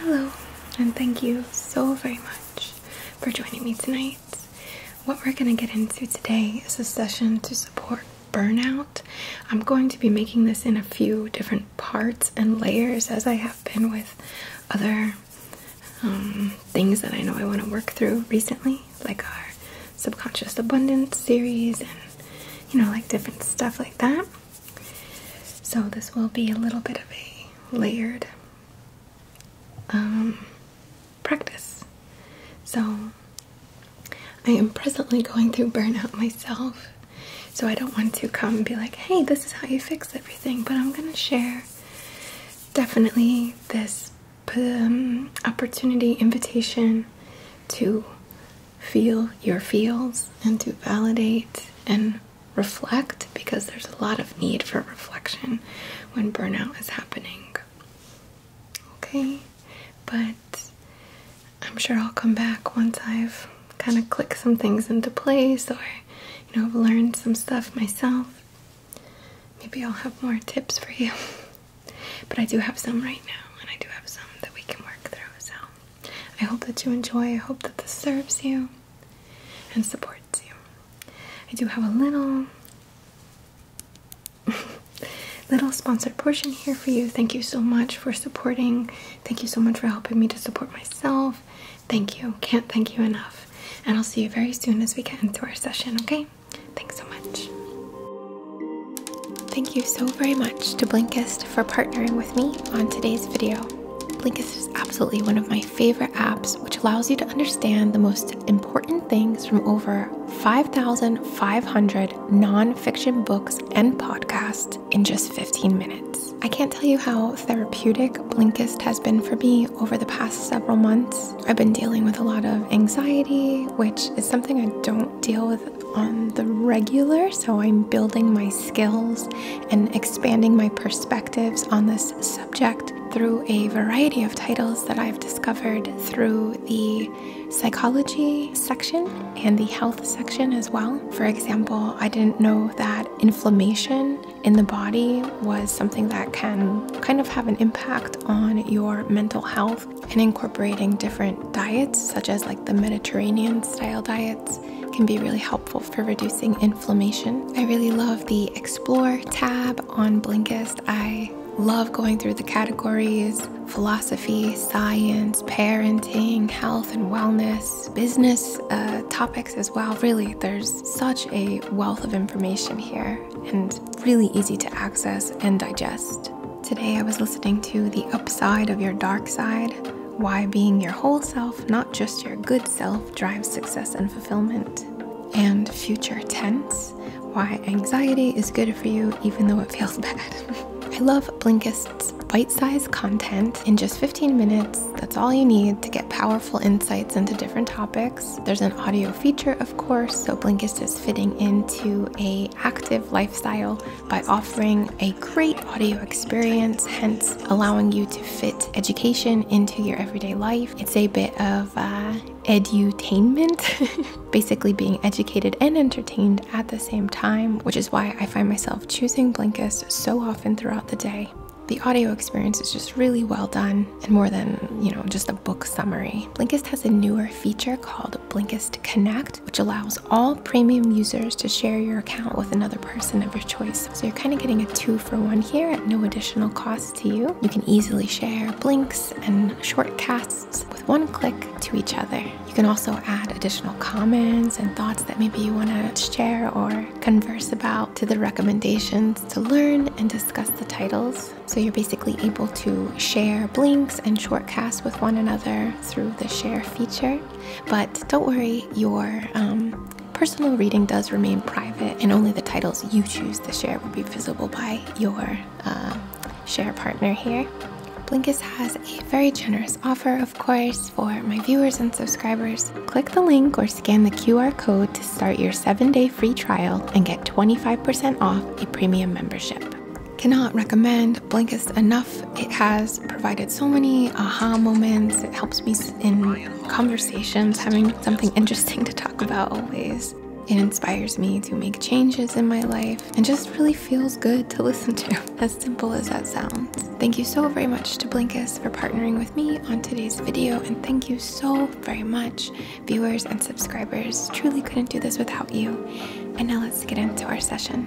Hello, and thank you so very much for joining me tonight. What we're going to get into today is a session to support burnout. I'm going to be making this in a few different parts and layers as I have been with other um, things that I know I want to work through recently like our subconscious abundance series, and you know, like different stuff like that. So, this will be a little bit of a layered um, practice. So, I am presently going through burnout myself, so I don't want to come and be like, hey, this is how you fix everything, but I'm gonna share definitely this um, opportunity, invitation to feel your feels and to validate and reflect because there's a lot of need for reflection when burnout is happening. Okay, but I'm sure I'll come back once I've kind of clicked some things into place or you know, learned some stuff myself. Maybe I'll have more tips for you. But I do have some right now, and I do have some that we can work through. So I hope that you enjoy. I hope that this serves you and supports you. I do have a little. little sponsored portion here for you. Thank you so much for supporting. Thank you so much for helping me to support myself. Thank you. Can't thank you enough. And I'll see you very soon as we get into our session, okay? thanks so much. Thank you so very much to Blinkist for partnering with me on today's video. Blinkist is absolutely one of my favorite apps, which allows you to understand the most important things from over 5,500 nonfiction books and podcasts in just 15 minutes. I can't tell you how therapeutic Blinkist has been for me over the past several months. I've been dealing with a lot of anxiety, which is something I don't deal with on the regular, so I'm building my skills and expanding my perspectives on this subject through a variety of titles that I've discovered through the psychology section and the health section as well. For example, I didn't know that inflammation in the body was something that can kind of have an impact on your mental health and incorporating different diets, such as like the Mediterranean style diets, can be really helpful for reducing inflammation. I really love the Explore tab on Blinkist. I love going through the categories philosophy, science, parenting, health and wellness, business uh, topics as well. Really, there's such a wealth of information here and really easy to access and digest. Today I was listening to The Upside of Your Dark Side Why Being Your Whole Self, Not Just Your Good Self, Drives Success and Fulfillment, and Future Tense Why Anxiety is Good for You Even Though It Feels Bad. I love Blinkist's bite sized content in just 15 minutes. That's all you need to get powerful insights into different topics. There's an audio feature, of course, so Blinkist is fitting into a active lifestyle by offering a great audio experience, hence allowing you to fit education into your everyday life. It's a bit of uh, edutainment, basically being educated and entertained at the same time, which is why I find myself choosing Blinkist so often throughout the day. The audio experience is just really well done and more than, you know, just a book summary. Blinkist has a newer feature called Blinkist Connect, which allows all premium users to share your account with another person of your choice. So you're kind of getting a two for one here at no additional cost to you. You can easily share blinks and short casts with one click to each other. You can also add additional comments and thoughts that maybe you want to share or converse about to the recommendations to learn and discuss the titles. So you're basically able to share blinks and short casts with one another, through the share feature. But don't worry, your um, personal reading does remain private, and only the titles you choose to share will be visible by your uh, share partner here. Blinkist has a very generous offer, of course, for my viewers and subscribers. Click the link or scan the QR code to start your seven day free trial and get 25% off a premium membership. Cannot recommend and Blinkist enough. It has provided so many aha moments. It helps me in conversations, having something interesting to talk about always. It inspires me to make changes in my life and just really feels good to listen to, as simple as that sounds. Thank you so very much to Blinkist for partnering with me on today's video, and thank you so very much, viewers and subscribers. Truly couldn't do this without you. And now let's get into our session.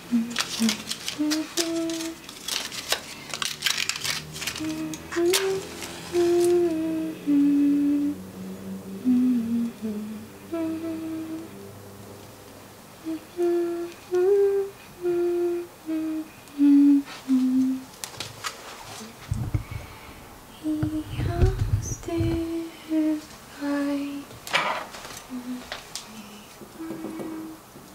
He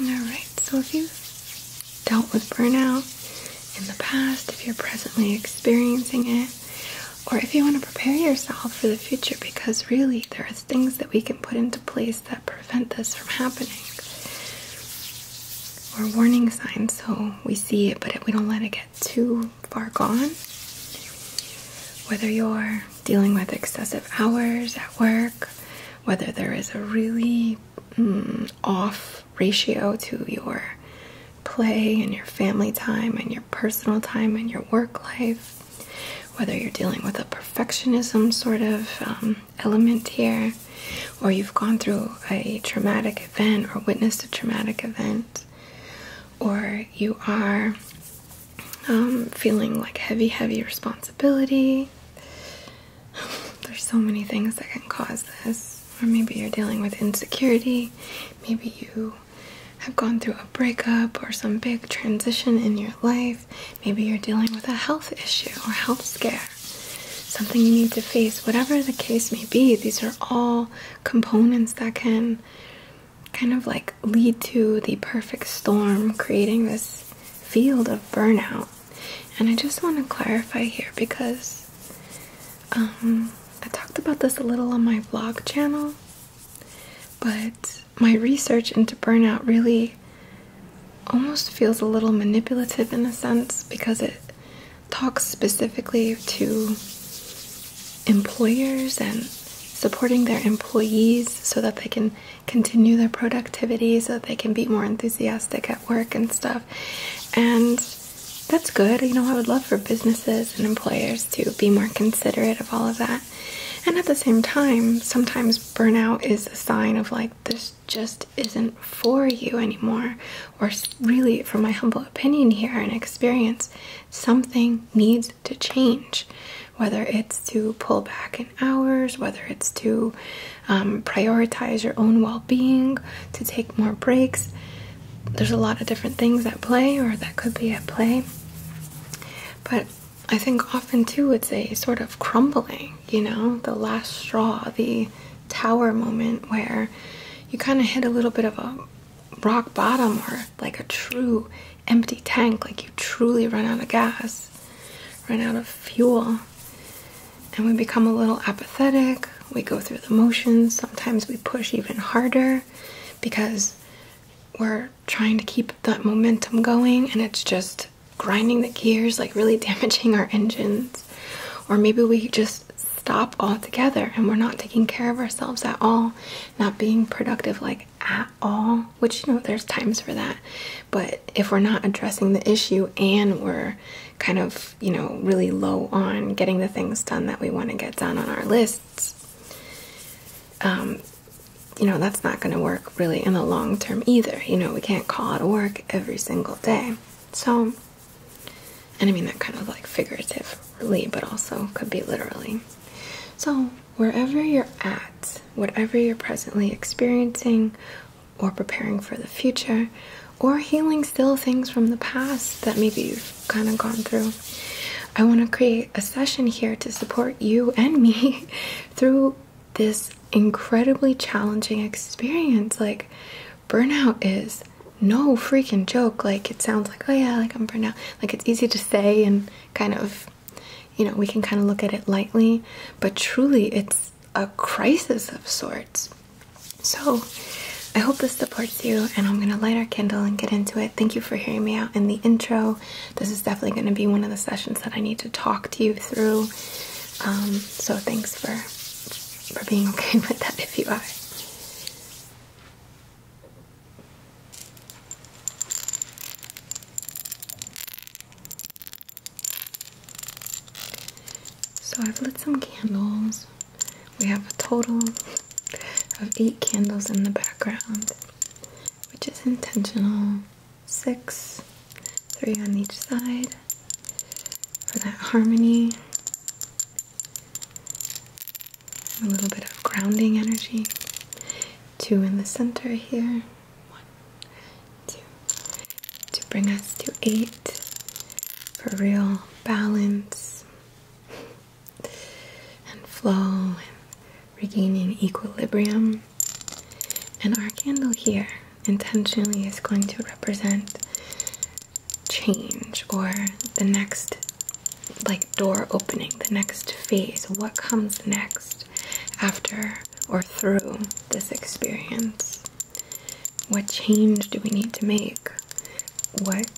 Alright, so if you dealt with burnout in the past, if you're presently experiencing it, or if you want to prepare yourself for the future, because really there are things that we can put into place that prevent this from happening or warning signs so we see it but we don't let it get too far gone whether you're dealing with excessive hours at work whether there is a really mm, off ratio to your play and your family time and your personal time and your work life whether you're dealing with a perfectionism sort of um, element here, or you've gone through a traumatic event or witnessed a traumatic event, or you are um, feeling like heavy, heavy responsibility. There's so many things that can cause this, or maybe you're dealing with insecurity, maybe you have gone through a breakup or some big transition in your life Maybe you're dealing with a health issue or health scare, something you need to face. Whatever the case may be, these are all components that can kind of like lead to the perfect storm, creating this field of burnout. And I just want to clarify here because um, I talked about this a little on my vlog channel, but my research into burnout really almost feels a little manipulative in a sense because it talks specifically to employers and supporting their employees so that they can continue their productivity so that they can be more enthusiastic at work and stuff and that's good you know i would love for businesses and employers to be more considerate of all of that and at the same time sometimes burnout is a sign of like this just isn't for you anymore, or really, from my humble opinion here and experience, something needs to change. Whether it's to pull back in hours, whether it's to um, prioritize your own well being, to take more breaks. There's a lot of different things at play, or that could be at play. But I think often too it's a sort of crumbling you know, the last straw, the tower moment where you kind of hit a little bit of a rock bottom or like a true empty tank, like you truly run out of gas, run out of fuel. And we become a little apathetic, we go through the motions, sometimes we push even harder because we're trying to keep that momentum going and it's just grinding the gears, like really damaging our engines. Or maybe we just stop altogether and we're not taking care of ourselves at all, not being productive like at all, which you know there's times for that. But if we're not addressing the issue and we're kind of, you know, really low on getting the things done that we want to get done on our lists, um, you know, that's not going to work really in the long term either. You know, we can't call it work every single day. So, and I mean that kind of like figuratively, but also could be literally. So, wherever you're at, whatever you're presently experiencing or preparing for the future, or healing still things from the past that maybe you've kind of gone through. I want to create a session here to support you and me through this incredibly challenging experience. Like, burnout is no freaking joke. Like, it sounds like, oh yeah, like I'm burnout. Like, it's easy to say and kind of, you know, we can kind of look at it lightly, but truly it's a crisis of sorts. So, I hope this supports you, and I'm gonna light our candle and get into it. Thank you for hearing me out in the intro. This is definitely gonna be one of the sessions that I need to talk to you through um, so thanks for for being okay with that if you are. So I've lit some candles. We have a total of eight candles in the background, which is intentional. Six three on each side for that harmony. A little bit of grounding energy. Two in the center here. One, two. To bring us to eight for real balance and flow and regaining equilibrium. And our candle here intentionally is going to represent change or the next like door opening, the next phase, what comes next after or through this experience. What change do we need to make? What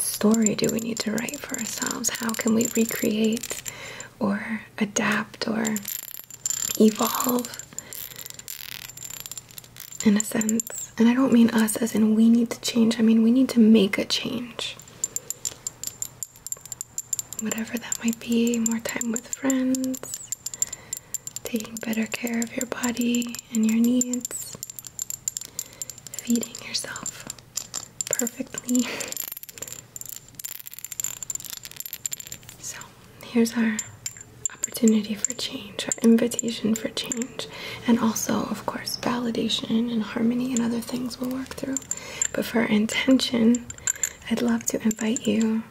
story do we need to write for ourselves? How can we recreate or adapt or evolve in a sense. And I don't mean us as in we need to change, I mean we need to make a change. Whatever that might be, more time with friends, taking better care of your body and your needs, feeding yourself perfectly. So, here's our opportunity for change, our invitation for change, and also, of course, validation and harmony and other things we'll work through. But for our intention, I'd love to invite you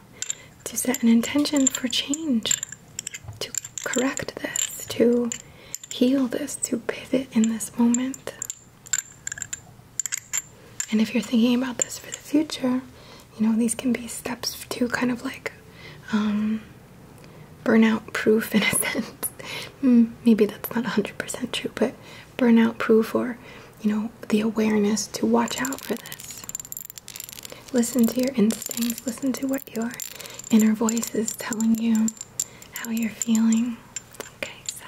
to set an intention for change, to correct this, to heal this, to pivot in this moment. And if you're thinking about this for the future, you know, these can be steps to kind of like um, burnout proof in a sense. Hmm, maybe that's not 100% true, but burnout proof or, you know, the awareness to watch out for this. Listen to your instincts, listen to what your inner voice is telling you, how you're feeling. Okay, so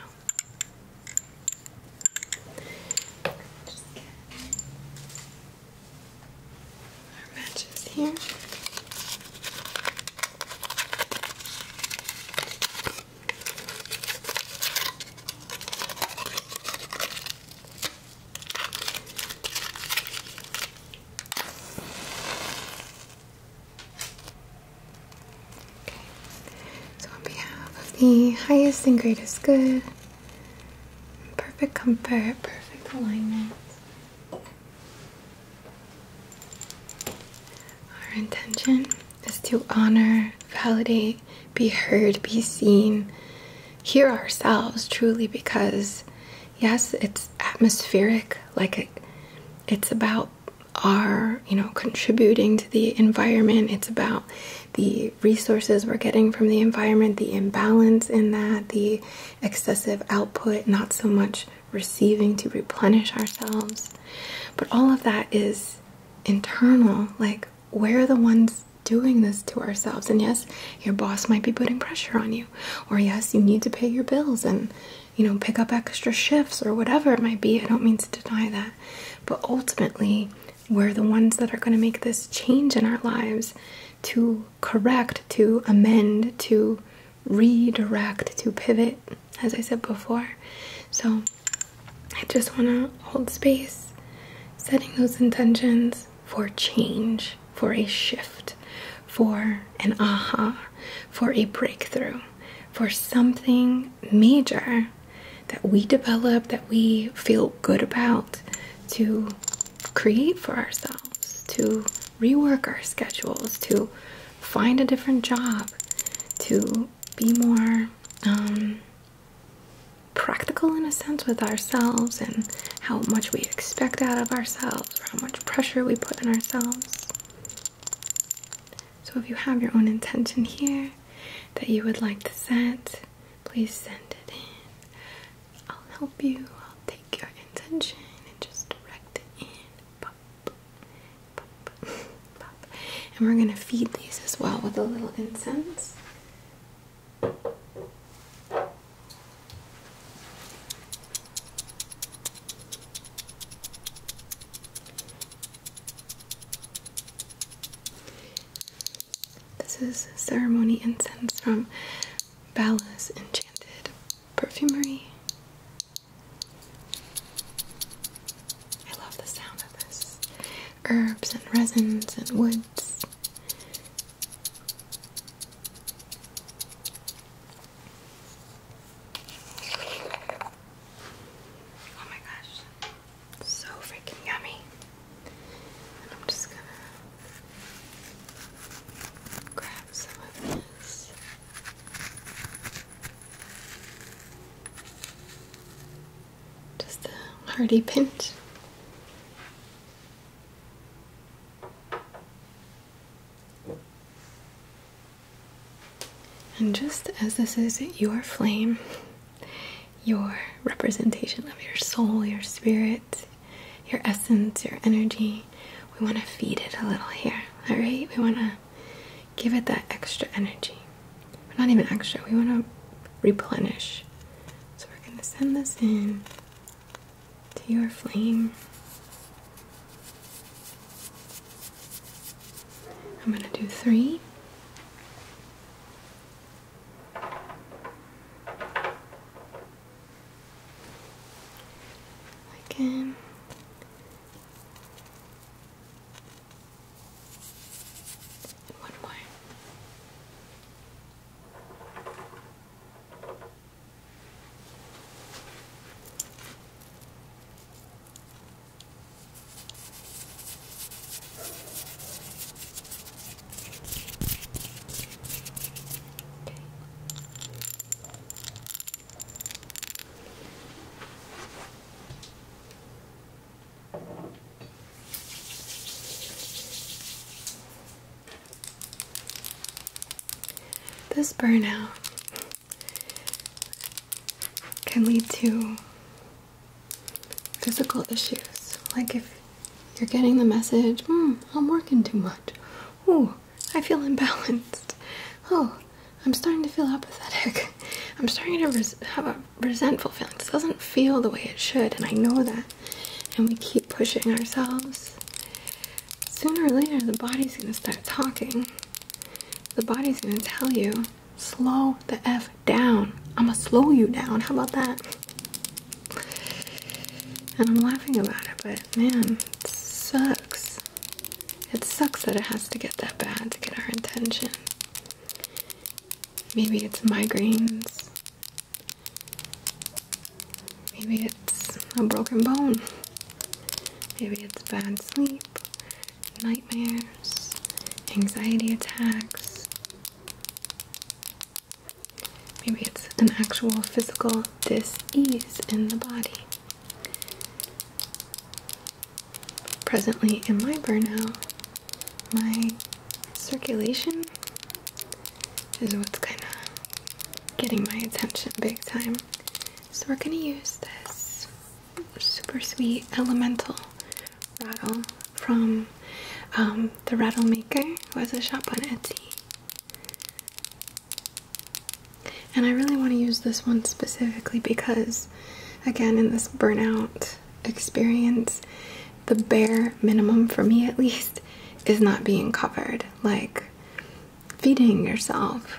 our matches here. Okay. So on behalf of the highest and greatest good, Perfect comfort, perfect alignment. Our intention is to honor, validate, be heard, be seen, hear ourselves truly because yes, it's atmospheric, like it, it's about our, you know, contributing to the environment, it's about the resources we're getting from the environment, the imbalance in that, the excessive output, not so much receiving to replenish ourselves. But all of that is internal. Like, we're the ones doing this to ourselves. And yes, your boss might be putting pressure on you. Or yes, you need to pay your bills and, you know, pick up extra shifts or whatever it might be. I don't mean to deny that. But ultimately, we're the ones that are going to make this change in our lives to correct, to amend, to redirect, to pivot, as I said before. So I just want to hold space, setting those intentions for change, for a shift, for an aha, for a breakthrough, for something major that we develop, that we feel good about, to create for ourselves, to rework our schedules, to find a different job, to be more um, practical in a sense with ourselves and how much we expect out of ourselves, or how much pressure we put on ourselves. So, if you have your own intention here that you would like to set, please send it in. I'll help you. I'll take your intention and just direct it in. And we're going to feed these as well with a little incense. This is ceremony incense from Bala's Enchanted Perfumery. I love the sound of this. Herbs and resins and woods. Oh my gosh. So freaking yummy. And I'm just gonna grab some of this. Just a hearty pinch. And just as this is your flame, your representation of your soul, your spirit, your essence, your energy. We want to feed it a little here, all right? We want to give it that extra energy. not even extra, we want to replenish. So we're going to send this in to your flame. I'm going to do three. I can one more. This burnout can lead to physical issues, like if you're getting the message, hmm, I'm working too much. Ooh, I feel imbalanced. Oh, I'm starting to feel apathetic. I'm starting to have a resentful feeling. This doesn't feel the way it should, and I know that. And we keep pushing ourselves. Sooner or later, the body's gonna start talking. The body's gonna tell you, slow the F down. I'm gonna slow you down. How about that? And I'm laughing about it, but man, it sucks. It sucks that it has to get that bad to get our attention. Maybe it's migraines. Maybe it's a broken bone. Maybe it's bad sleep, nightmares, anxiety attacks. Maybe it's an actual physical dis-ease in the body. Presently in my burnout, my circulation is what's kind of getting my attention big time. So we're going to use this super sweet elemental rattle from um, the Rattle Maker, who has a shop on Etsy. And I really want to use this one specifically because, again, in this burnout experience, the bare minimum, for me at least, is not being covered. Like feeding yourself,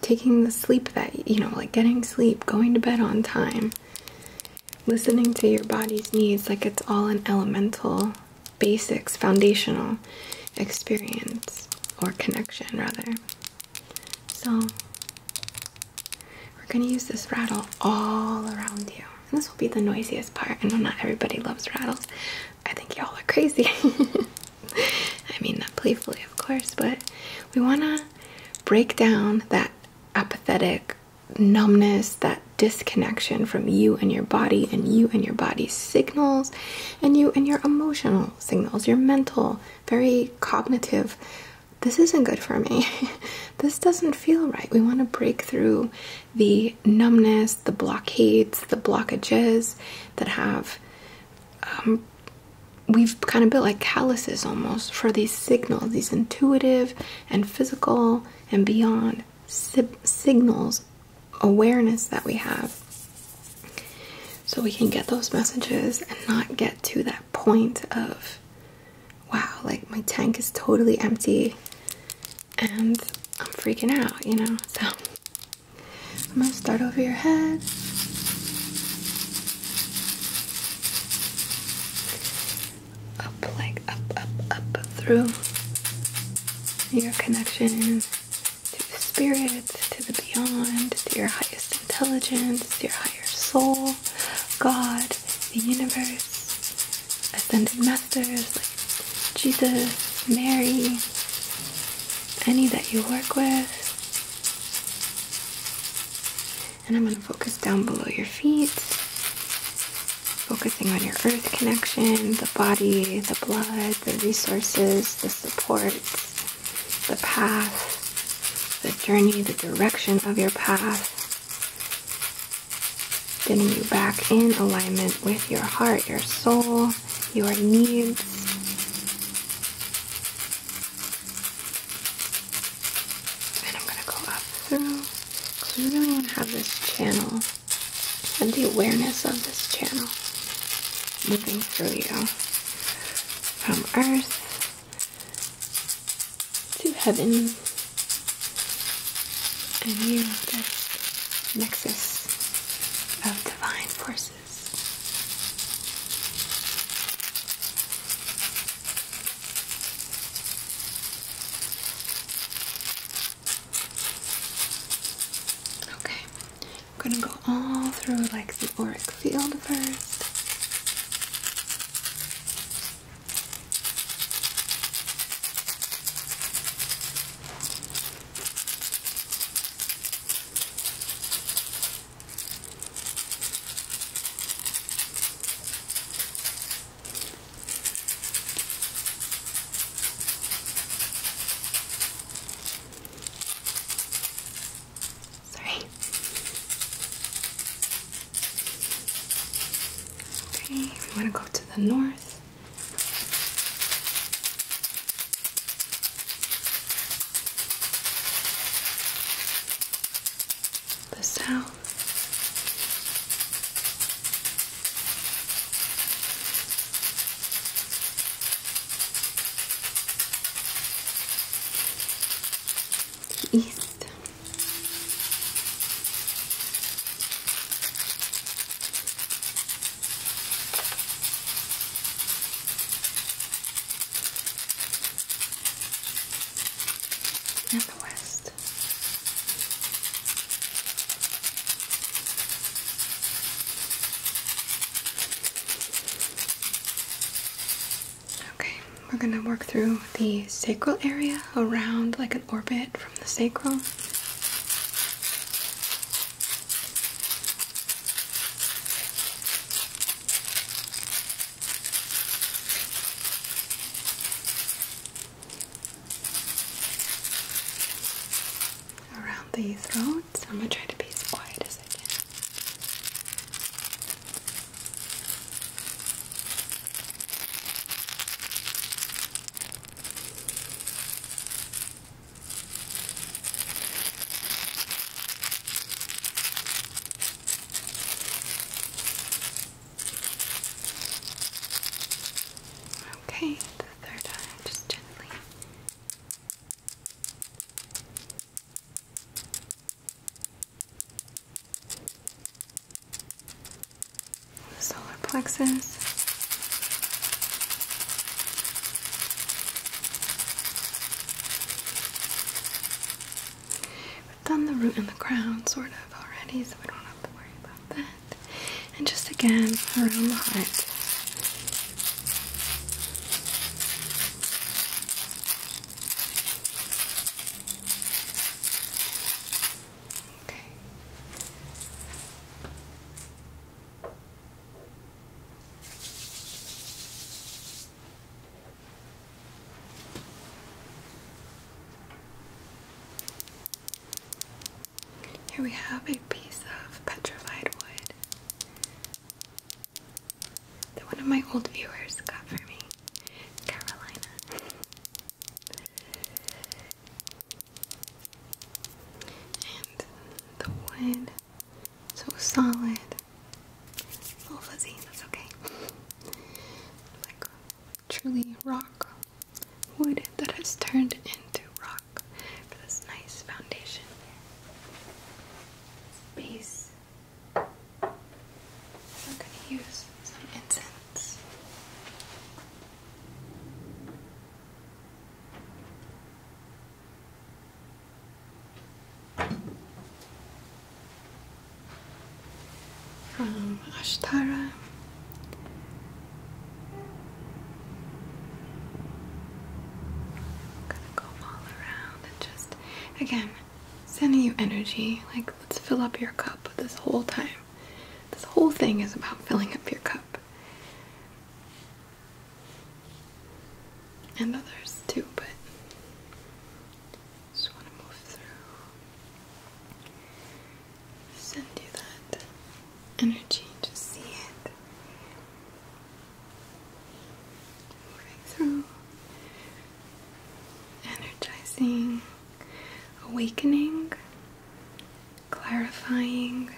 taking the sleep that, you know, like getting sleep, going to bed on time, listening to your body's needs, like it's all an elemental basics, foundational experience or connection, rather. So, we're going to use this rattle all around you. And this will be the noisiest part. I know not everybody loves rattles. I think y'all are crazy. I mean, not playfully, of course, but we want to break down that apathetic numbness, that disconnection from you and your body and you and your body's signals and you and your emotional signals, your mental, very cognitive. This isn't good for me. this doesn't feel right. We want to break through the numbness, the blockades, the blockages that have. Um, we've kind of built like calluses almost for these signals, these intuitive and physical and beyond signals awareness that we have so we can get those messages and not get to that point of wow like my tank is totally empty and i'm freaking out you know so i'm gonna start over your head up like up up up through your connection to the spirit, to the beyond, to your highest intelligence, your higher soul, God, the universe, ascended masters like Jesus, Mary, any that you work with. And I'm going to focus down below your feet focusing on your earth connection, the body, the blood, the resources, the supports, the path, the journey, the direction of your path. Getting you back in alignment with your heart, your soul, your needs. And I'm going to go up through because we really want to have this channel and the awareness of this channel moving through you from earth to heaven and you the nexus of divine forces Okay, I'm gonna go all through like the auric field first. Sorry. Okay, we want to go to the north. The south, to the east. And the west. Okay, we're going to work through the sacral area around like an orbit from the sacrum around the throat. So I'm gonna try to be as quiet as I can. Okay, the third eye, just gently solar plexus. We've done the root and the crown sort of already, so we don't have to worry about that and just again around the heart. Okay. Here we have piece of petrified wood that one of my old viewers got for me, Carolina. And the wood, so solid. A oh, little fuzzy, that's okay. Like truly rock wood that has turned into rock for this nice foundation space. I'm gonna use some incense. From Ashtara I'm gonna go all around and just, again, sending you energy. Like, let's fill up your cup this whole time. This whole thing is about filling up your cup. And others too, but just want to move through. Send you that energy to see it moving through, energizing, awakening, clarifying.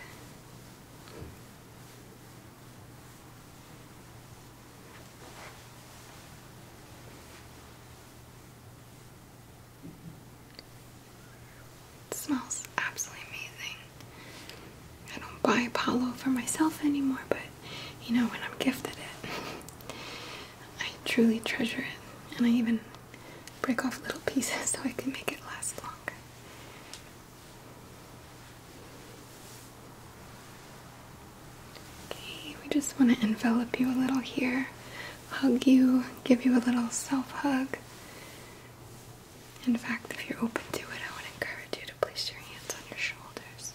It smells absolutely amazing. I don't buy Apollo for myself anymore, but you know, when I'm gifted it, I truly treasure it. And I even break off little pieces so I can make it last long. Okay, we just want to envelop you a little here, hug you, give you a little self hug. In fact, if you're open to it, I would encourage you to place your hands on your shoulders.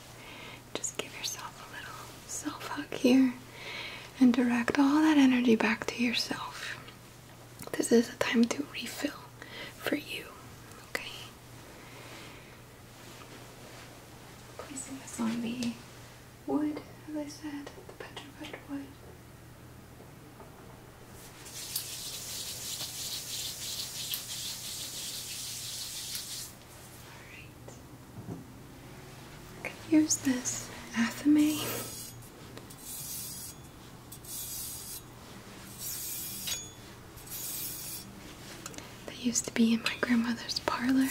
Just give yourself a little self hug here and direct all that energy back to yourself. This is a time to refill for you, okay? Placing this on the wood, as I said, the petrified wood. Alright. use this athame. That used to be in my grandmother's parlor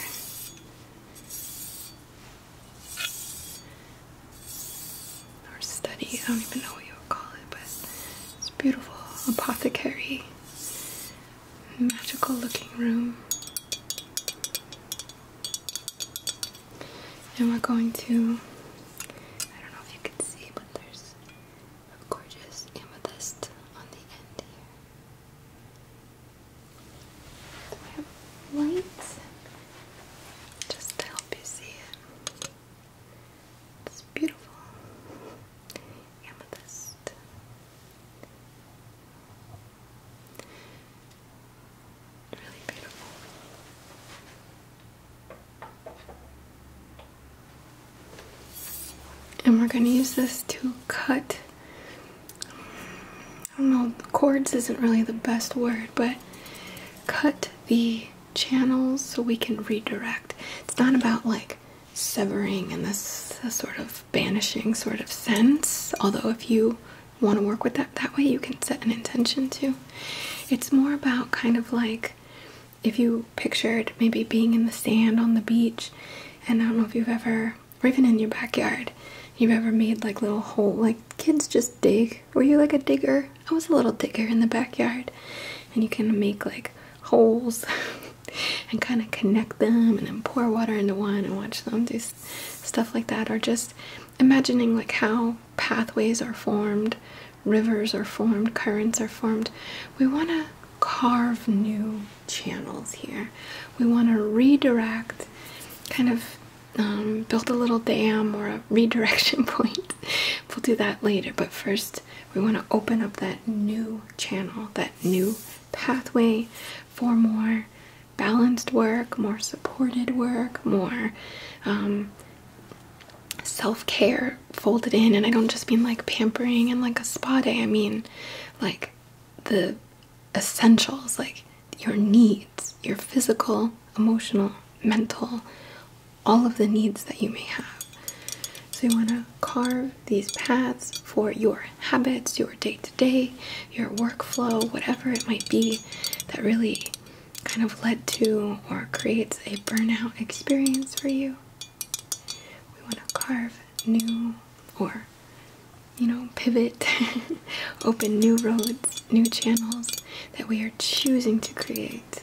or study, I don't even know what you would call it, but it's beautiful apothecary, magical looking room. And we're going to, I don't know if you can see, but there's a gorgeous amethyst on the end here. Do I have light? Just to help you see it. It's beautiful amethyst. Really beautiful. And we're going to use this to cut. I don't know, chords isn't really the best word, but cut the channels so we can redirect. It's not about like severing in this sort of banishing sort of sense, although if you want to work with that that way, you can set an intention too. It's more about kind of like if you pictured maybe being in the sand on the beach, and I don't know if you've ever, or even in your backyard, you've ever made like little hole, like kids just dig. Were you like a digger? I was a little thicker in the backyard, and you can make like holes and kind of connect them and then pour water into one and watch them do stuff like that, or just imagining like how pathways are formed, rivers are formed, currents are formed. We want to carve new channels here. We want to redirect, kind of um, build a little dam or a redirection point. We'll do that later, but first we want to open up that new channel, that new pathway for more balanced work, more supported work, more um, self care folded in. And I don't just mean like pampering and like a spa day, I mean like the essentials, like your needs, your physical, emotional, mental, all of the needs that you may have. So you want to carve these paths for your habits, your day to day, your workflow, whatever it might be that really kind of led to or creates a burnout experience for you. We want to carve new or you know, pivot, open new roads, new channels that we are choosing to create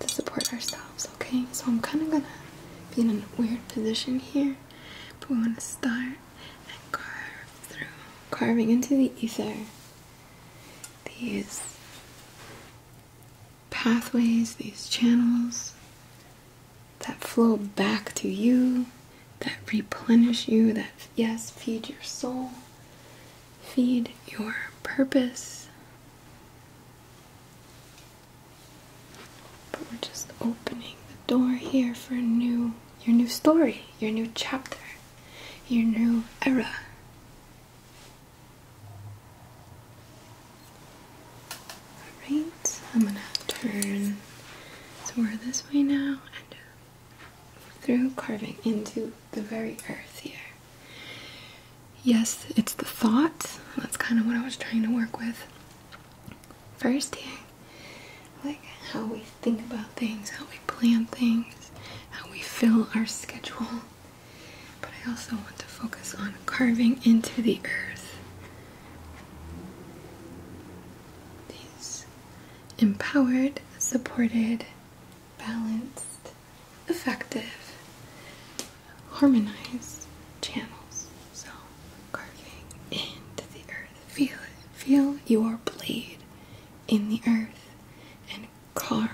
to support ourselves, okay? So I'm kind of gonna be in a weird position here, but we want to start and through, carving into the ether these pathways, these channels that flow back to you, that replenish you, that, yes, feed your soul, feed your purpose, but we're just opening the door here for new your new story, your new chapter, your new era. Alright, I'm gonna turn so we're this way now and uh, through carving into the very earth here. Yes, it's the thought. That's kind of what I was trying to work with. First, yeah, like how we think about things, how we plan things, how we fill our schedule. But I also want to focus on carving into the earth these empowered, supported, balanced effective, harmonized channels. So, carving into the earth. Feel it. Feel your blade in the earth and carve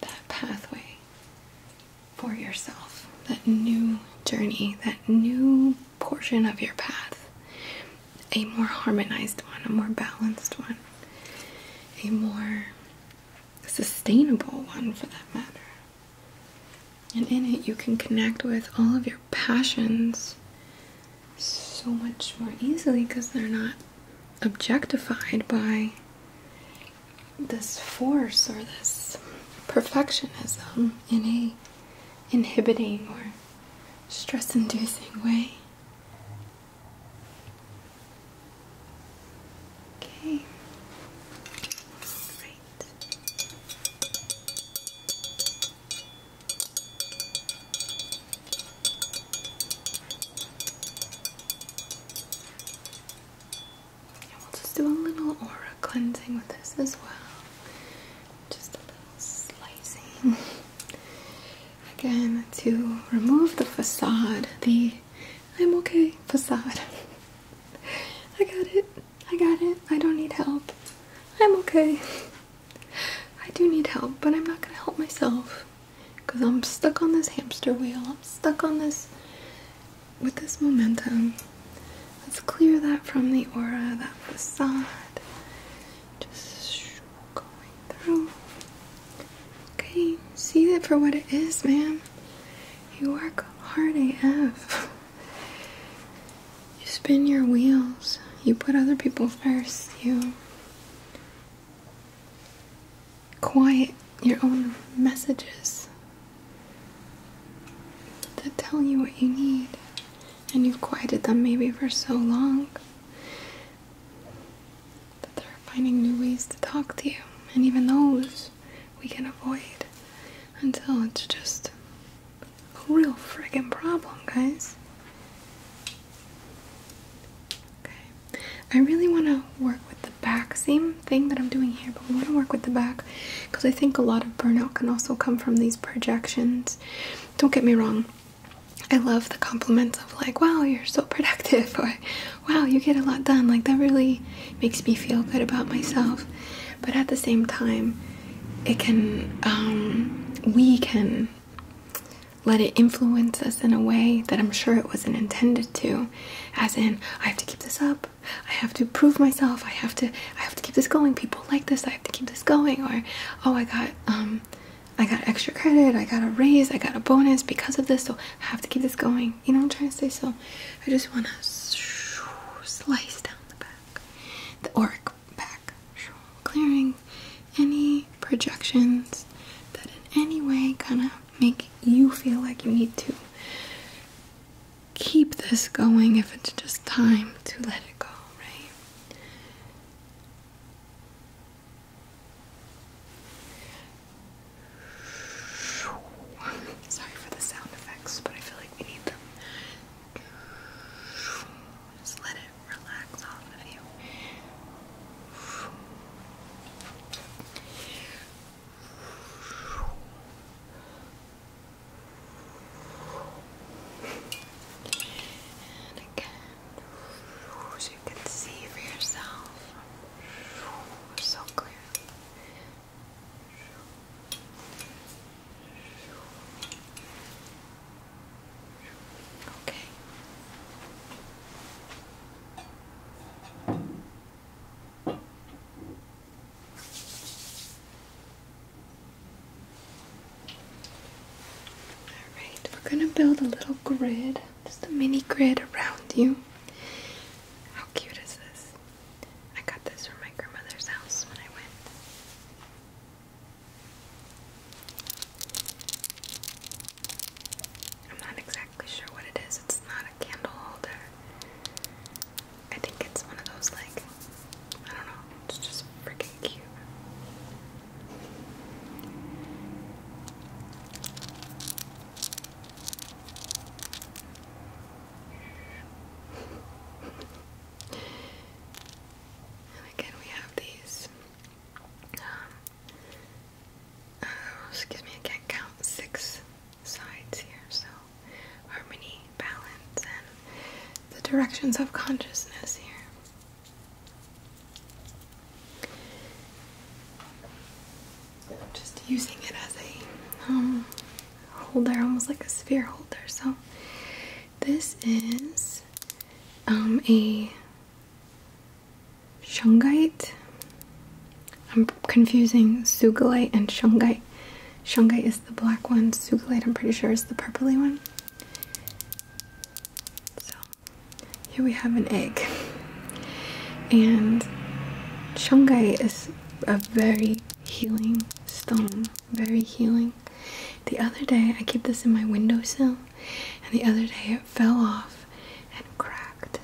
that pathway for yourself. That new journey, that new portion of your path. A more harmonized one, a more balanced one, a more sustainable one for that matter. And in it, you can connect with all of your passions so much more easily because they're not objectified by this force or this perfectionism in a inhibiting or stress inducing way. Okay. Great. And we'll just do a little aura cleansing with this as well. Just a little slicing. Again, to remove the facade, the I'm okay. Facade. I got it. I got it. I don't need help. I'm okay. I do need help, but I'm not gonna help myself because I'm stuck on this hamster wheel. I'm stuck on this with this momentum. Let's clear that from the aura, that facade. Just going through. Okay, see that for what it is, man. You work hard AF. You spin your wheels. You put other people first. You quiet your own messages that tell you what you need. And you've quieted them maybe for so long that they're finding new ways to talk to you. And even those we can avoid until it's just a real friggin' problem, guys. Okay, I really want to work with the back, same thing that I'm doing here, but we want to work with the back because I think a lot of burnout can also come from these projections. Don't get me wrong, I love the compliments of, like, wow, you're so productive, wow, you get a lot done. Like, that really makes me feel good about myself. But at the same time, it can, um, we can let it influence us in a way that I'm sure it wasn't intended to. As in, I have to keep this up. I have to prove myself. I have to, I have to keep this going. People like this. I have to keep this going. Or, oh, I got, um, I got extra credit, I got a raise, I got a bonus because of this, so I have to keep this going you know, I'm trying to say. So I just want to slice down the back, the auric back, clearing any projections that in any way kind of make you feel like you need to keep this going if it's just time to let it go, right? Sorry for the sound effects, but I feel like we need them. Just let it relax off of you. And again, so you can see for yourself so clearly. Okay. Alright, we're gonna build a little grid, just a mini grid around you. How cute is this? I got this from my grandmother's house when I went. I'm not exactly sure what it is. It's not a candle holder. I think it's one of those, like, I don't know. It's just freaking cute. And again, we have these. Um, uh, excuse me, I can't count six sides here. So, harmony, balance, and the directions of consciousness here. I'm just using it as a um, holder, almost like a sphere holder. So this is um, a shungite. I'm confusing sugalite and shungite. Shungite is the black one. Sugalite, I'm pretty sure, is the purpley one. So here we have an egg, and shungite is a very healing stone, very healing. The other day, I keep this in my windowsill, and the other day it fell off and cracked.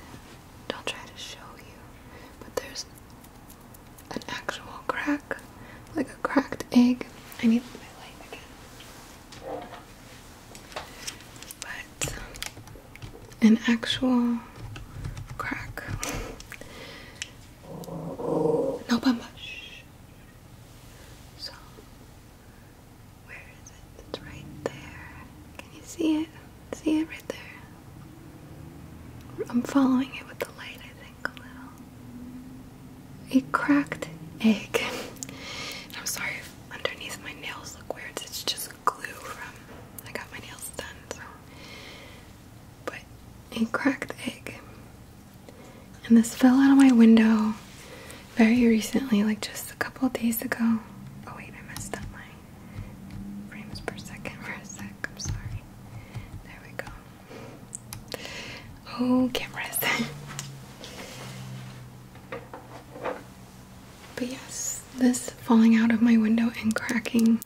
Don't try to show you, but there's an actual crack, like a cracked egg. I need my light again. But an actual crack. No bamba. So, where is it? It's right there. Can you see it? See it right there? I'm following it with the light, I think, a little. A cracked egg. I'm sorry underneath my nails look weird. It's just glue from I got my nails done, so but a cracked egg. And this fell out of my window very recently, like just a couple days ago. Oh wait, I messed up my frames per second for a sec. I'm sorry. There we go. Oh, cameras. but yes, this falling out of my window and cracking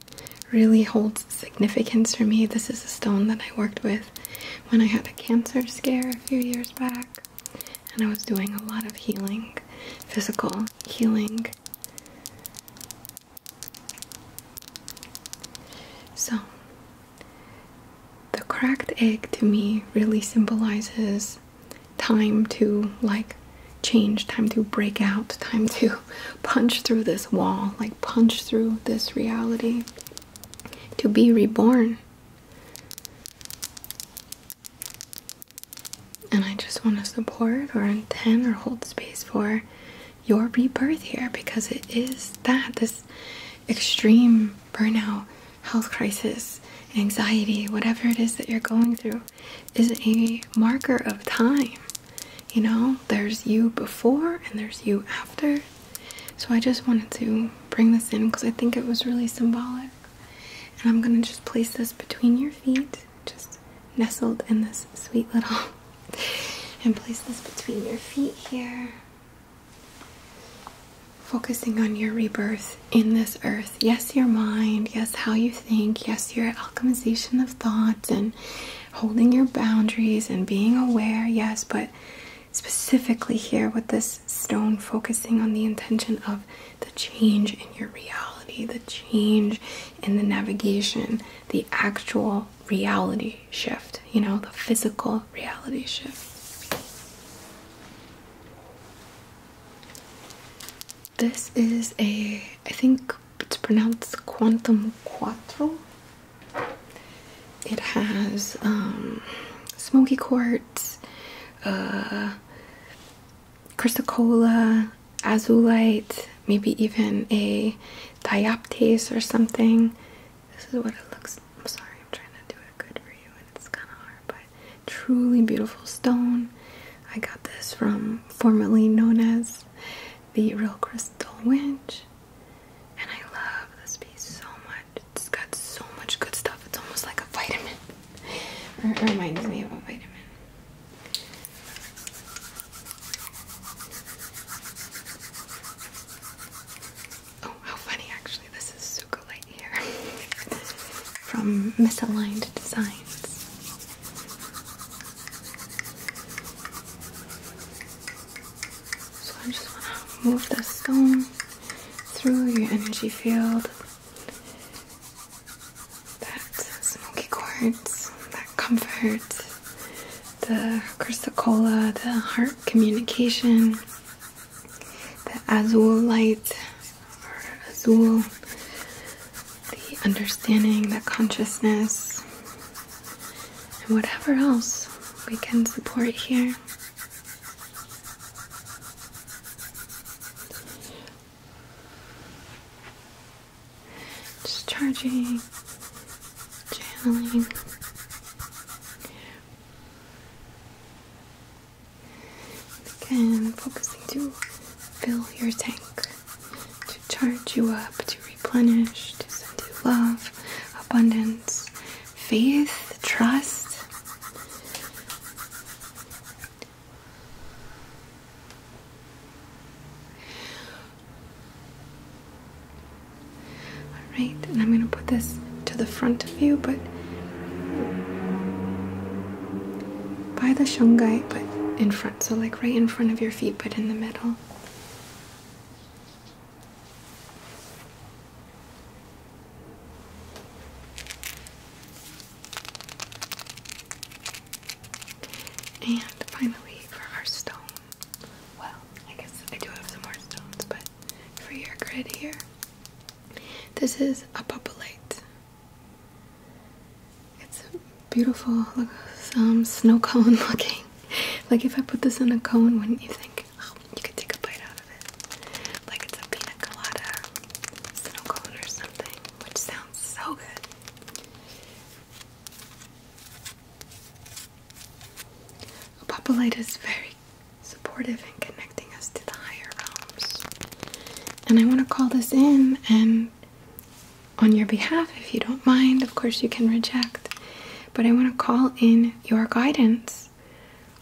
really holds significance for me. This is a stone that I worked with when I had a cancer scare a few years back, and I was doing a lot of healing, physical healing. So, the cracked egg to me really symbolizes time to like change, time to break out, time to punch through this wall, like punch through this reality, to be reborn. And I just want to support or intend or hold space for your rebirth here because it is that this extreme burnout, health crisis, anxiety, whatever it is that you're going through is a marker of time. You know, there's you before and there's you after. So I just wanted to bring this in because I think it was really symbolic. And I'm going to just place this between your feet, just nestled in this sweet little. and place this between your feet here. Focusing on your rebirth in this earth. Yes, your mind. Yes, how you think. Yes, your alchemization of thoughts and holding your boundaries and being aware, yes, but specifically here with this stone, focusing on the intention of the change in your reality, the change in the navigation, the actual reality shift, you know, the physical reality shift. This is a I think it's pronounced Quantum Quattro. It has um, smoky quartz, uh, crystal cola, azulite, maybe even a dioptase or something. This is what it looks. I'm sorry, I'm trying to do it good for you, and it's kind of hard, but truly beautiful stone. I got this from formerly known as the real crystal winch. And I love this piece so much. It's got so much good stuff. It's almost like a vitamin. It reminds me of a vitamin. Oh, how funny actually. This is Suka Light here from Misaligned Designs. So I just want to move the stone through your energy field. That smoky quartz, that comfort, the crystal cola, the heart communication, the azul light, or azul the understanding the consciousness and whatever else we can support here just charging channeling and again focusing to fill your tank to charge you up, to replenish, to send you love, abundance, faith, trust. All right, and I'm going to put this to the front of you, but by the shungai, but in front. So, like right in front of your feet, but in the middle. And finally, for our stone, well, I guess I do have some more stones, but for your grid here, this is a populate. It's beautiful, look, um, snow cone looking. Like if I put this in a cone, wouldn't you think? Oh, you could take a bite out of it. Like it's a pina colada snow cone or something, which sounds so good. A papalite is very supportive in connecting us to the higher realms. And I want to call this in and on your behalf if you don't mind. Of course, you can reject, but I want to call in your guidance.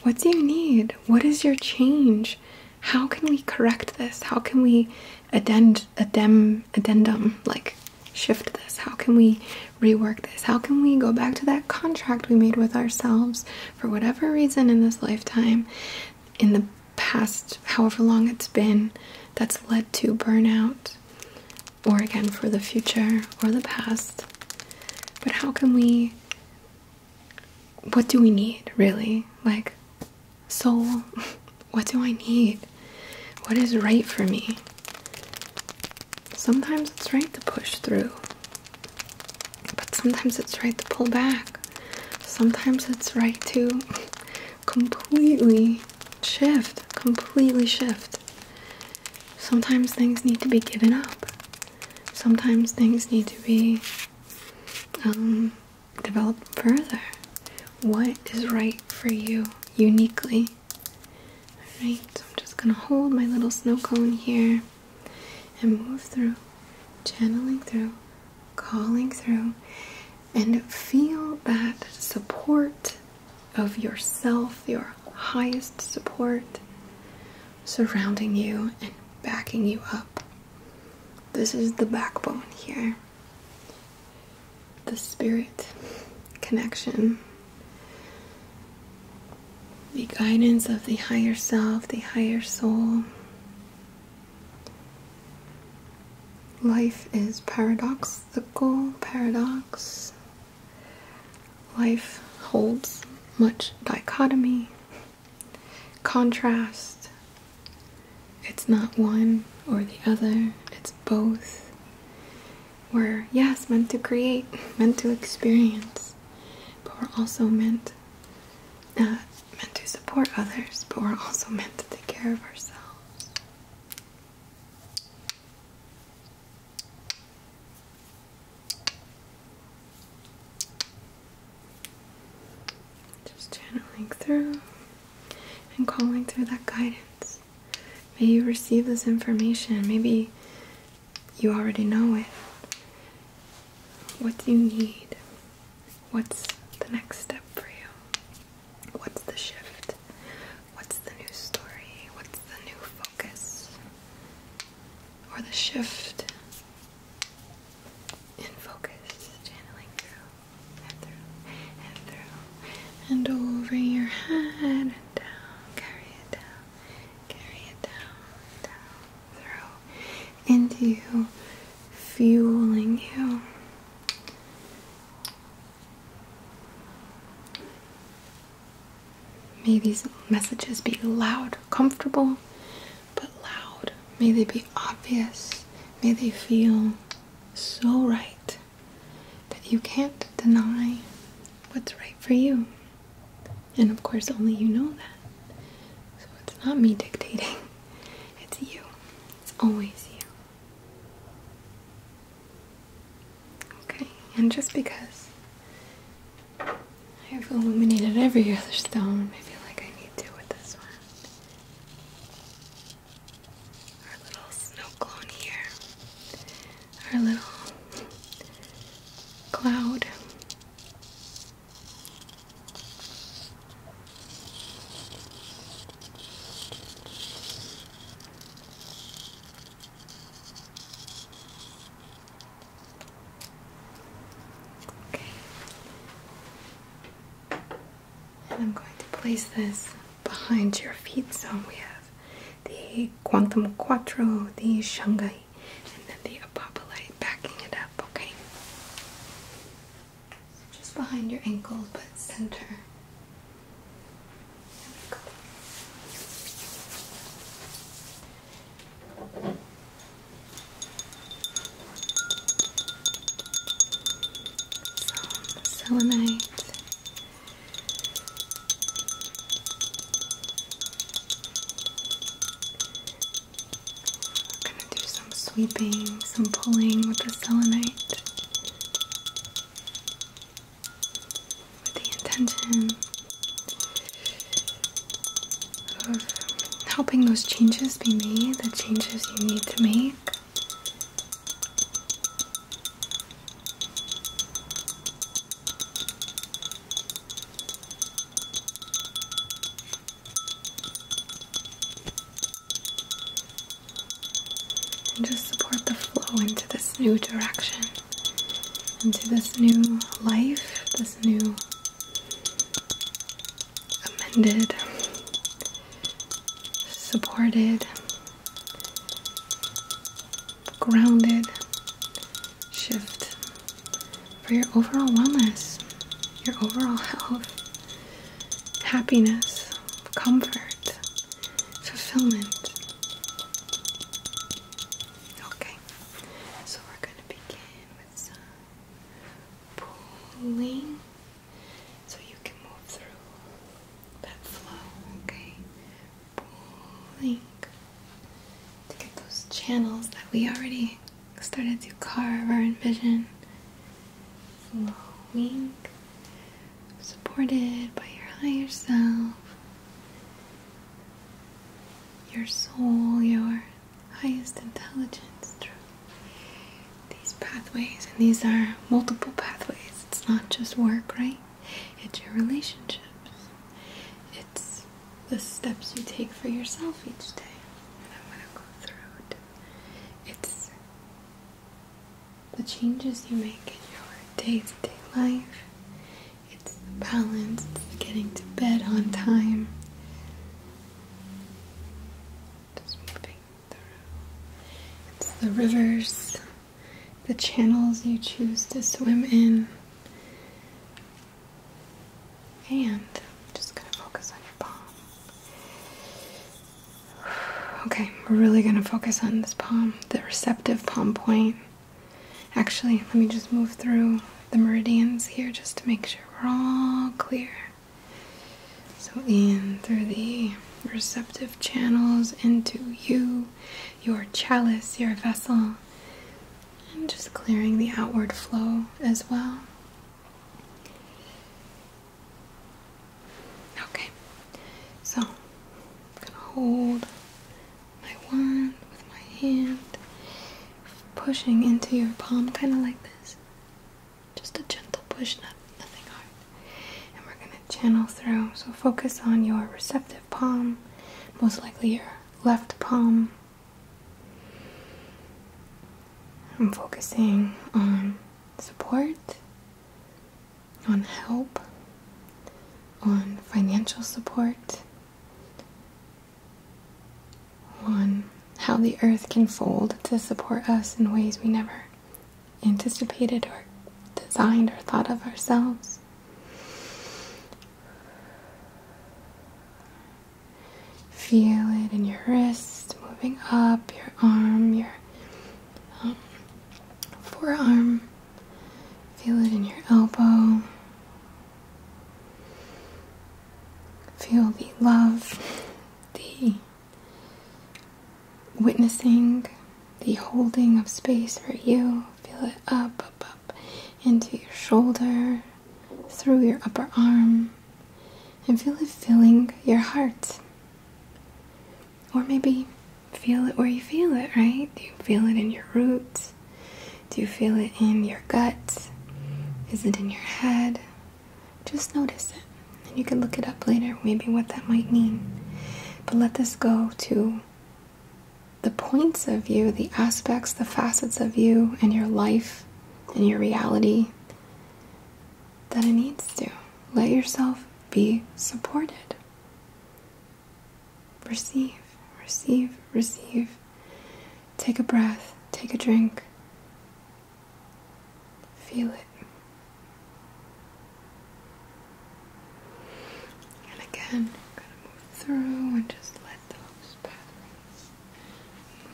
What do you need? What is your change? How can we correct this? How can we addend addem addendum like shift this? How can we rework this? How can we go back to that contract we made with ourselves for whatever reason in this lifetime, in the past, however long it's been, that's led to burnout? or again for the future or the past. But how can we? What do we need really? Like, soul, what do I need? What is right for me? Sometimes it's right to push through, but sometimes it's right to pull back. Sometimes it's right to completely shift, completely shift. Sometimes things need to be given up. Sometimes things need to be um, developed further. What is right for you uniquely? Alright, so I'm just gonna hold my little snow cone here and move through, channeling through, calling through, and feel that support of yourself, your highest support surrounding you and backing you up. This is the backbone here. The spirit connection, the guidance of the higher self, the higher soul. Life is paradox ethical paradox. Life holds much dichotomy, contrast. It's not one or the other, it's both. We're, yes, meant to create, meant to experience, but we're also meant, uh, meant to support others, but we're also meant to take care of ourselves. Just channeling through and calling through that guidance. May you receive this information. Maybe you already know it. What do you need? What's the next step for you? What's the shift? What's the new story? What's the new focus? Or the shift in focus, channeling through and through and through and over your head and down, carry it down, carry it down, down, through, into you, fueling you, May these messages be loud, comfortable, but loud. May they be obvious. May they feel so right that you can't deny what's right for you. And of course, only you know that. So it's not me dictating, it's you. It's always you. Okay, and just because I've illuminated every other stone, I feel like I need to with this one. Our little snow clone here, our little cloud. And I'm going to place this behind your feet. So we have the Quantum Quattro, the Shanghai, and then the Apophyllite backing it up, okay? just behind your ankles, but center go. Some selenite. gonna do some sweeping, some pulling with the selenite with the intention of helping those changes be made, the changes you need to make. And just support the flow into this new direction into this new life, this new amended, supported, grounded shift for your overall wellness, your overall health, happiness, comfort, fulfillment. Okay, so we're going to begin with some pulling so you can move through that flow, okay? Pulling to get those channels that we already started to carve or envision flowing supported by your higher self, your soul, your highest intelligence through these pathways. And these are multiple pathways. It's not just work, right? It's your relationships, it's the steps you take for yourself each day. I'm going to go through it. It's the changes you make in your day to day life. It's the balance, getting to bed on time. Just moving through. It's the rivers, the channels you choose to swim in. And I'm just gonna focus on your palm. Okay, we're really gonna focus on this palm, the receptive palm point. Actually, let me just move through the meridians here just to make sure we're all clear. So, in through the receptive channels, into you, your chalice, your vessel, and just clearing the outward flow as well. Okay, so I'm gonna hold my wand with my hand, pushing into your palm, kind of like this. Just a gentle push, not, nothing hard. And we're going to channel through. So focus on your receptive palm, most likely your left palm. I'm focusing on support on help, on financial support, on how the earth can fold to support us in ways we never anticipated or designed or thought of ourselves. Feel it in your wrist, moving up, your arm, your um, forearm, Feel it in your elbow. Feel the love, the witnessing, the holding of space for you. Feel it up, up, up into your shoulder, through your upper arm, and feel it filling your heart. Or maybe feel it where you feel it, right? Do you feel it in your roots? Do you feel it in your gut? Is it in your head? Just notice it. And you can look it up later, maybe what that might mean. But let this go to the points of you, the aspects, the facets of you, and your life, and your reality that it needs to. Let yourself be supported. Receive, receive, receive. Take a breath, take a drink. Feel it. And again, I'm move through and just let those patterns move.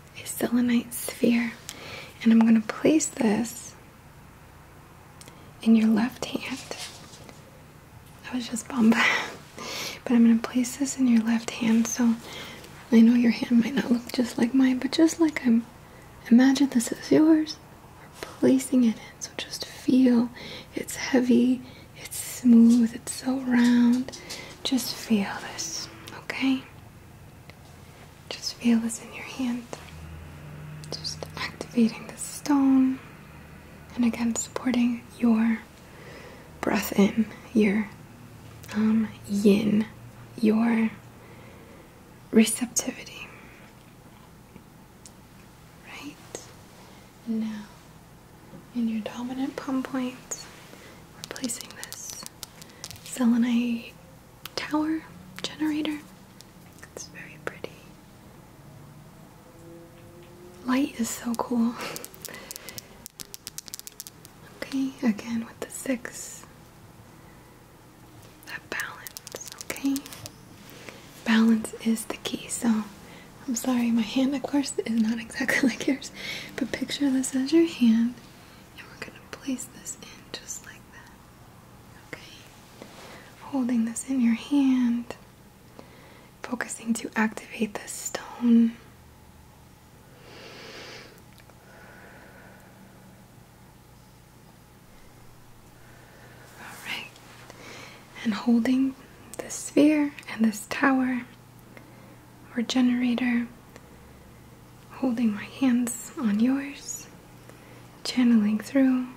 a selenite sphere. And I'm going to place this in your left hand. I was just bummed. but I'm going to place this in your left hand. So I know your hand might not look just like mine, but just like I'm imagine this is yours, we're placing it in. So just feel it's heavy, it's smooth, it's so round. Just feel this. Okay? Just feel this in your hand. Just activating the stone and again supporting your breath in, your um, yin, your receptivity. Right? Now, in your dominant palm points, we're placing this selenite tower generator. It's very pretty. Light is so cool. okay, again with the six. That balance, okay? Balance is the key. So, I'm sorry, my hand, of course, is not exactly like yours, but picture this as your hand and we're going to place this in just like that. Okay? Holding this in your hand, focusing to activate the stone. Alright, and holding this sphere and this tower or generator, holding my hands on yours, channeling through,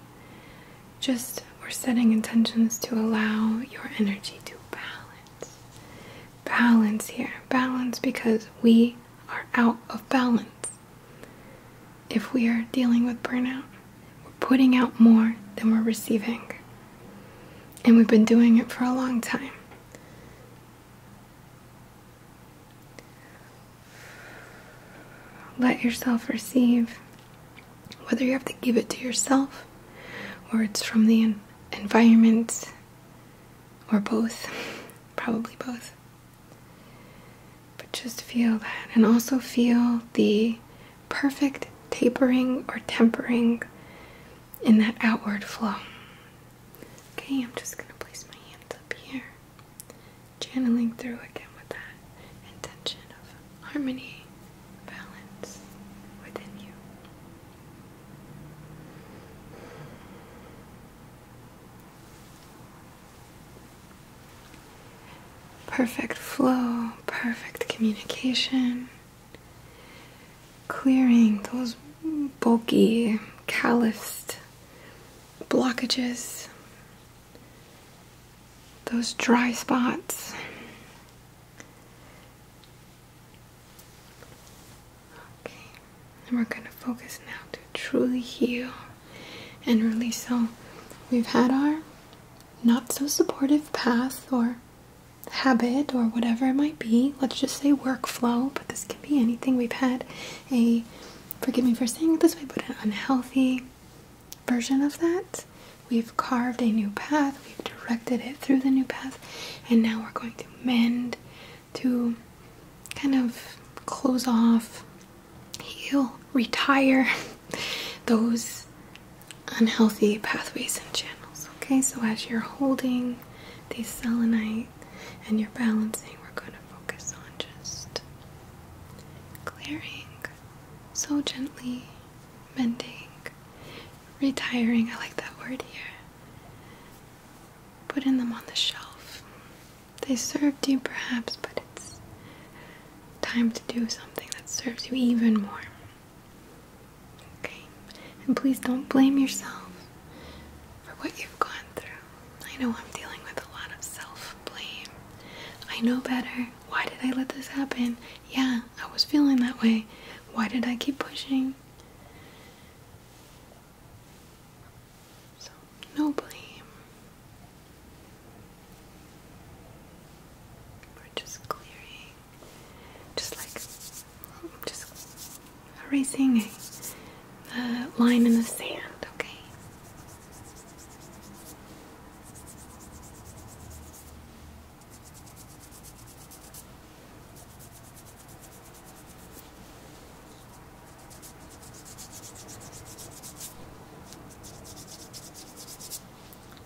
just or setting intentions to allow your energy to balance. Balance here, balance because we are out of balance. If we are dealing with burnout, we're putting out more than we're receiving. And we've been doing it for a long time. Let yourself receive, whether you have to give it to yourself or it's from the environment or both, probably both. But just feel that and also feel the perfect tapering or tempering in that outward flow. Okay, I'm just going to place my hands up here, channeling through again with that intention of harmony, balance within you. Perfect flow, perfect communication clearing those bulky, calloused blockages, those dry spots. Okay, and we're going to focus now to truly heal and release. So we've had our not so supportive path or habit or whatever it might be let's just say workflow, but this can be anything. We've had a, forgive me for saying it this way, but an unhealthy version of that. We've carved a new path, we've directed it through the new path, and now we're going to mend to kind of close off, heal, retire those unhealthy pathways and channels. Okay, so as you're holding these selenite breathing and your balancing, we're going to focus on just clearing so gently, mending, retiring. I like that word here. Putting them on the shelf. They served you perhaps, but it's time to do something that serves you even more. Okay. And please don't blame yourself for what you've gone through. I know I'm dealing with a lot of self blame. I know better. Why did I let this happen? Yeah, I was feeling that way. Why did I keep pushing? So, no blame. We're just clearing, just like just erasing the line in the sand, okay?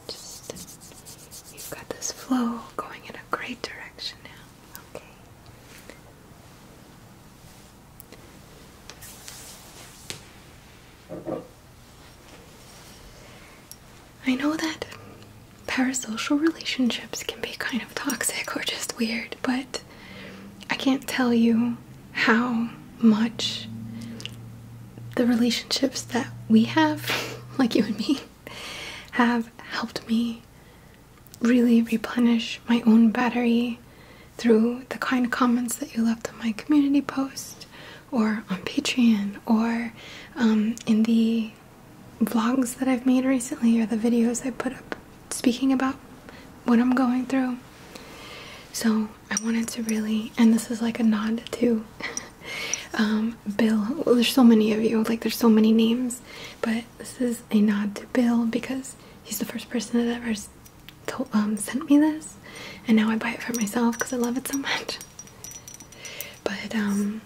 Just you've got this flow going in a great direction now. Okay. I know that parasocial relationships can be kind of toxic or just weird, but I can't tell you how much the relationships that we have, like you and me, have helped me really replenish my own battery through the kind comments that you left on my community post or on Patreon or um, in the vlogs that I've made recently or the videos I put up speaking about what I'm going through. So I wanted to really, and this is like a nod to um, Bill. there's so many of you, like there's so many names, but this is a nod to Bill because he's the first person that ever um, sent me this, and now I buy it for myself because I love it so much. But um,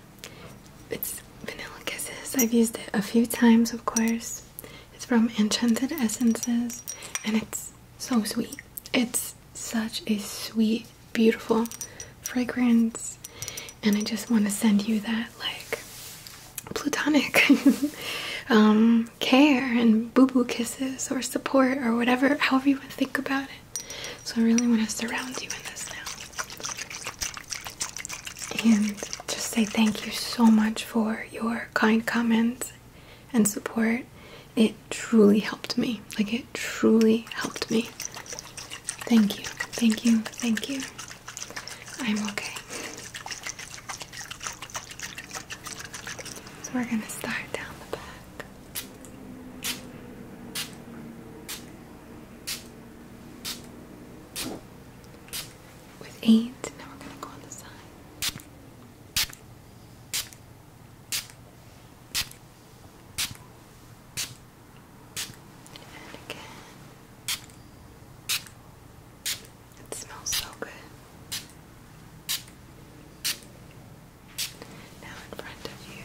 it's Vanilla Kisses. I've used it a few times, of course. It's from Enchanted Essences, and it's so sweet. It's such a sweet, beautiful fragrance, and I just want to send you that like Plutonic um, care and boo boo kisses or support or whatever, however you want to think about it. So, I really want to surround you in this now. And just say thank you so much for your kind comments and support. It truly helped me. Like, it truly helped me. Thank you, thank you, thank you. I'm okay. So we're going to start down the back. With eight, now we're going to go on the side. And again. It smells so good. Now in front of you.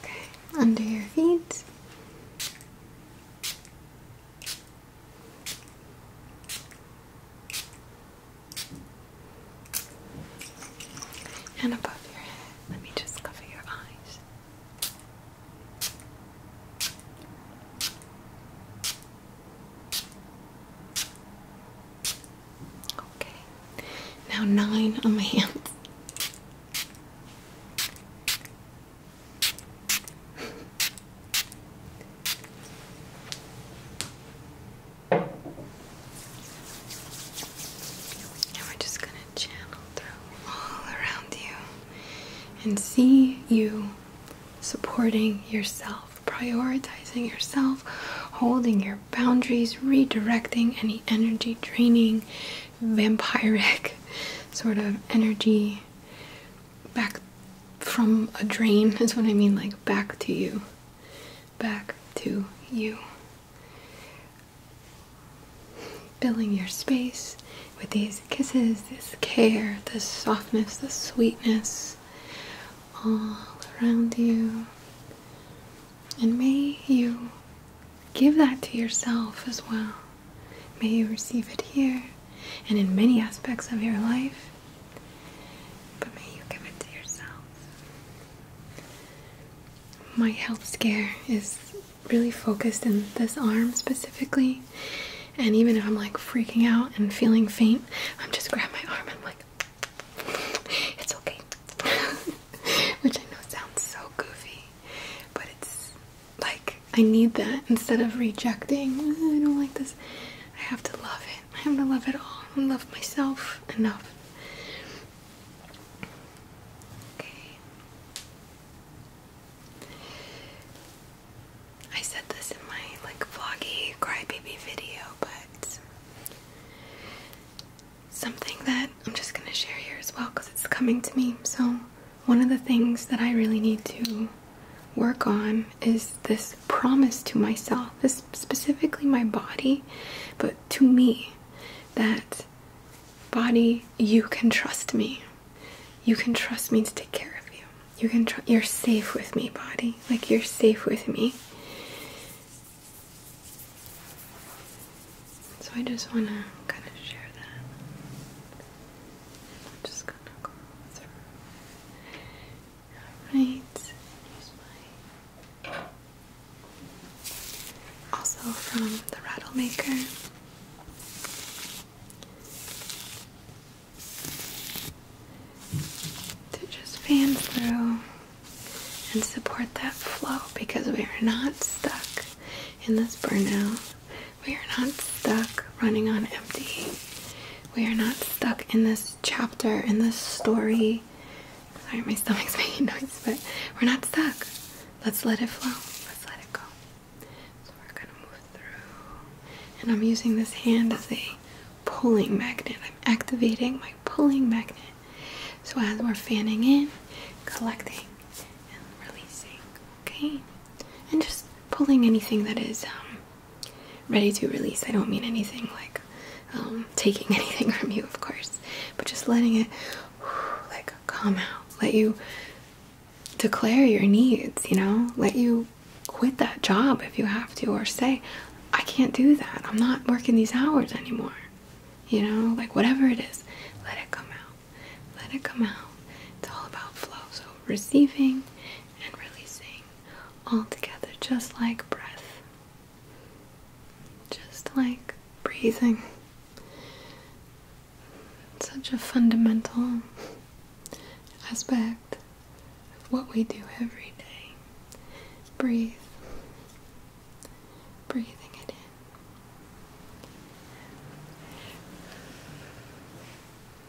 Okay, under your feet. And above your head, let me just cover your eyes. Okay. Now nine on my hands. And we're just going to channel through all around you and see you supporting yourself, prioritizing yourself, holding your boundaries, redirecting any energy draining, vampiric sort of energy back from a drain is what I mean, like back to you. Back to you. Filling your space with these kisses, this care, this softness, this sweetness all around you. And may you give that to yourself as well. May you receive it here and in many aspects of your life. But may you give it to yourself. My health scare is really focused in this arm specifically. And even if I'm like freaking out and feeling faint, I'm just grab my arm and I'm like, it's okay. Which I know sounds so goofy, but it's like I need that instead of rejecting. I don't like this. I have to love it. I have to love it all. I love myself enough. Okay. I said this in my like vloggy crybaby video, but something that I'm just gonna share here as well because it's coming to me. So, one of the things that I really need to work on is this promise to myself, this specifically my body, but to me that body, you can trust me. You can trust me to take care of you. You can tr you're safe with me, body. Like you're safe with me. So I just want to kind of share that just gonna go through. Alright, Also from the Rattle Maker. To just fan through and support that flow because we are not stuck in this burnout. We are not stuck running on empty. We are not stuck in this chapter, in this story. Sorry, my stomach's making noise, but we're not stuck. Let's let it flow. Let's let it go. So we're gonna move through. And I'm using this hand as a pulling magnet. I'm activating my pulling magnet. So as we're fanning in, collecting, and releasing, okay? And just pulling anything that is um, ready to release. I don't mean anything like um, taking anything from you, of course, but just letting it like come out, let you declare your needs, you know, let you quit that job if you have to, or say, I can't do that, I'm not working these hours anymore, you know, like whatever it is, let it come out, let it come out. It's all about flow, so receiving and releasing all together, just like breath, just like breathing. such a fundamental aspect of what we do every day. Breathe. Breathing it in.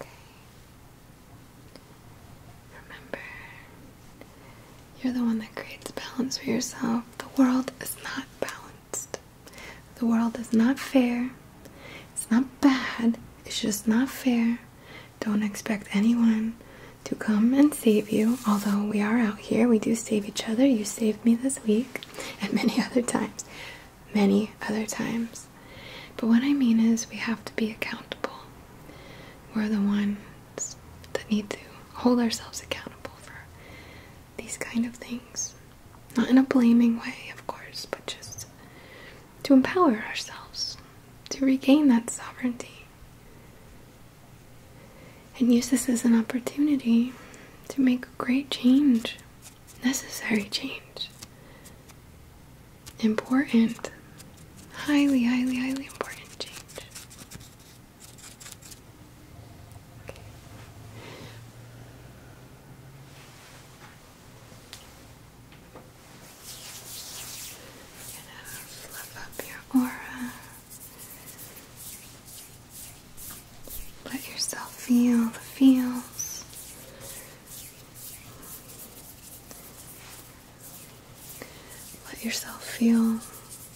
Okay. Remember, you're the one that creates balance for yourself. The world is not balanced. The world is not fair. It's not bad. It's just not fair. Don't expect anyone to come and save you. Although we are out here, we do save each other. You saved me this week and many other times many other times. But what I mean is, we have to be accountable. We're the ones that need to hold ourselves accountable for these kind of things. Not in a blaming way, of course, but just to empower ourselves, to regain that sovereignty. And use this as an opportunity to make a great change necessary change. Important, highly, highly, highly important change. Okay. gonna fluff up your aura. Let yourself feel the feels. Let yourself feel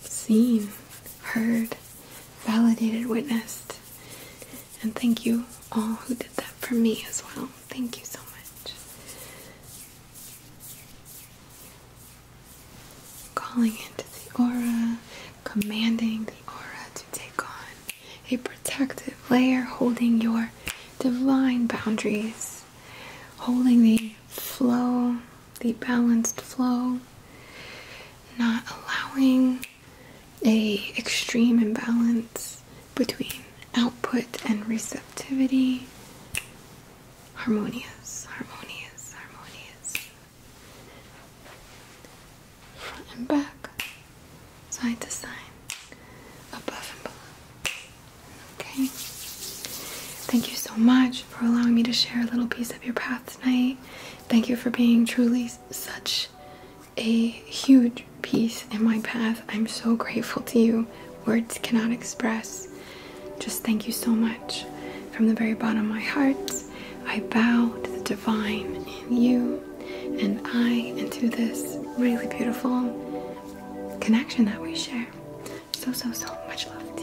seen, heard, validated, witnessed. And thank you all who did that for me as well. Thank you so much. Calling into the aura, commanding the aura to take on a protective layer holding your divine boundaries, holding the flow, the balanced flow, not allowing a extreme imbalance between output and receptivity. Harmonious, harmonious, harmonious front and back, side to side, above and below. Okay. Thank you so much for allowing me to share a little piece of your path tonight. Thank you for being truly such a huge piece in my path. I'm so grateful to you. Words cannot express. Just thank you so much. From the very bottom of my heart, I bow to the divine in you and I into this really beautiful connection that we share. So, so, so much love to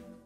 you.